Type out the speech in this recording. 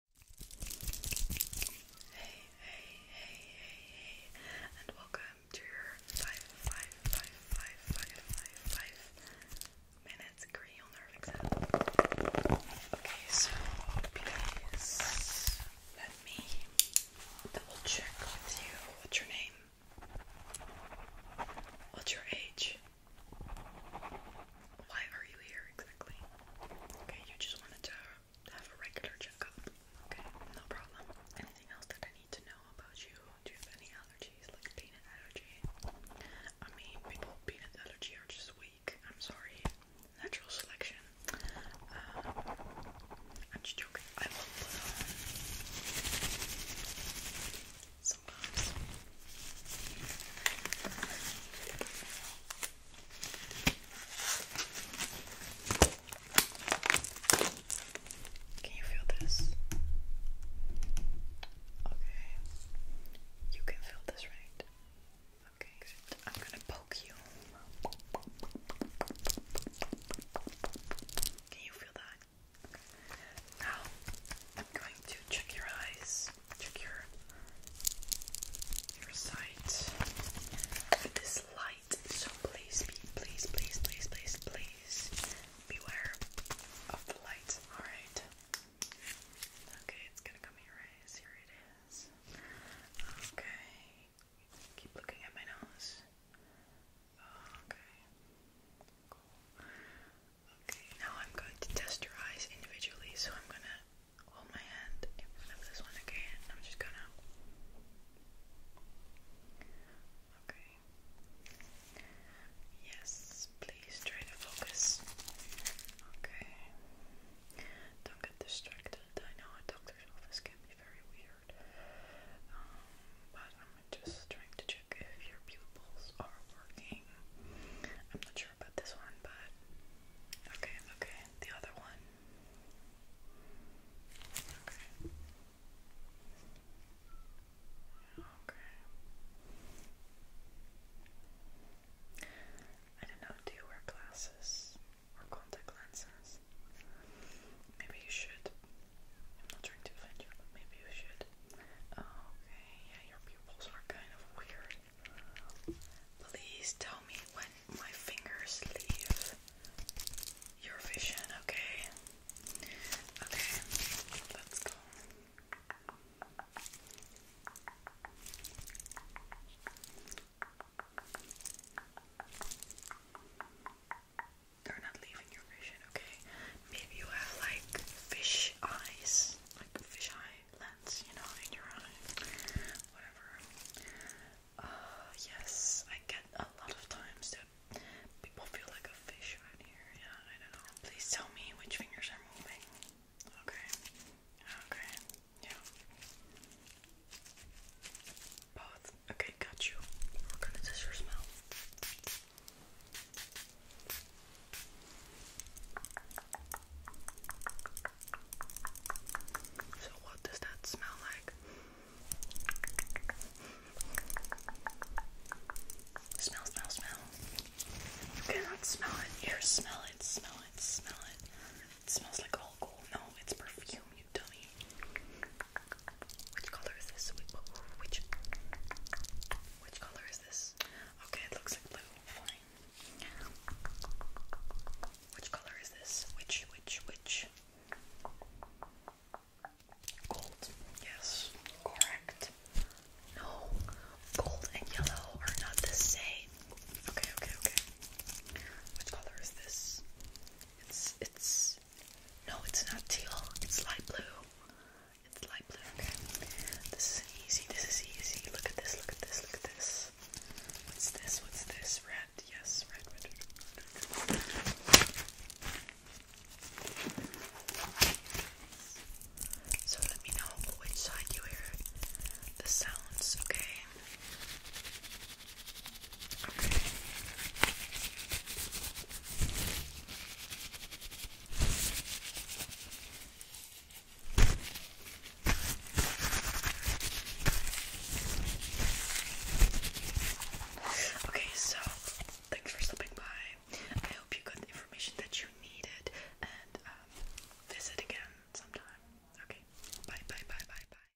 Hey, hey, hey, hey, hey, and welcome to your five, five, five, five, five, five, five minutes cranial nerve exam. Okay, so please let me double check with you. What's your name? What's your age? Why are you here exactly? Okay, you just wanted to have a regular checkup. Okay, no problem. Anything else that I need to know about you? Do you have any allergies, like peanut allergy? I mean, people peanut allergy are just weak. I'm sorry. Natural selection. Uh, I'm joking. I will uh, sometimes. Can you feel this? Okay. You can feel this, right? Okay, I'm gonna poke you. Can you feel that? Now, I'm going to check your eyes check your your sight with this light. So please please please please please please beware of the light. Alright. Okay, it's gonna come here, Here it is. Okay. Keep looking at my nose. Okay. Cool. Okay, now I'm going to test your eyes individually, so I'm gonna hold my hand in front this one, okay? I'm just gonna. Okay. Yes, please try to focus. Okay. Don't get distracted. I know a doctor's office can be very weird. Um, but I'm just trying to if your pupils are working. I'm not sure about this one, but okay, okay. The other one. Okay. Okay. I don't know, do you wear glasses or contact lenses? Maybe you should. I'm not trying to offend you, but maybe you should. Oh, okay, yeah, your pupils are kind of weird. Please tell me when my fingers leave your vision, okay? Okay, let's go. They're not leaving your vision, okay? Maybe you have like fish eyes, like a fish eye lens, you know, in your eye. Whatever. Uh, yes, I get a lot of times that people feel like a fish right here. Yeah, I don't know. Please tell me which fingers are moving. Okay. Okay. Yeah. Both. Okay, got you. We're gonna test your smell. So, what does that smell like? Smell, smell, smell. You cannot smell it. Here, smell it, smell it, smell it. It smells like alcohol. No, it's perfume, you dummy. Which color is this? Which which color is this? Okay, it looks like blue. Fine. Which color is this? Which which which? Gold. Yes. Correct. No. Gold and yellow are not the same. Okay, okay, okay. Which color is this? It's it's no, it's not teal. It's light blue. It's light blue. Okay. This is easy. This is easy. Look at this. Look at this. Look at this. What's this? What's this? Red. Yes. Red. So let me know which side you hear the sounds. Okay. Okay, so thanks for stopping by. I hope you got the information that you needed and um, visit again sometime. Okay, bye, bye, bye, bye, bye.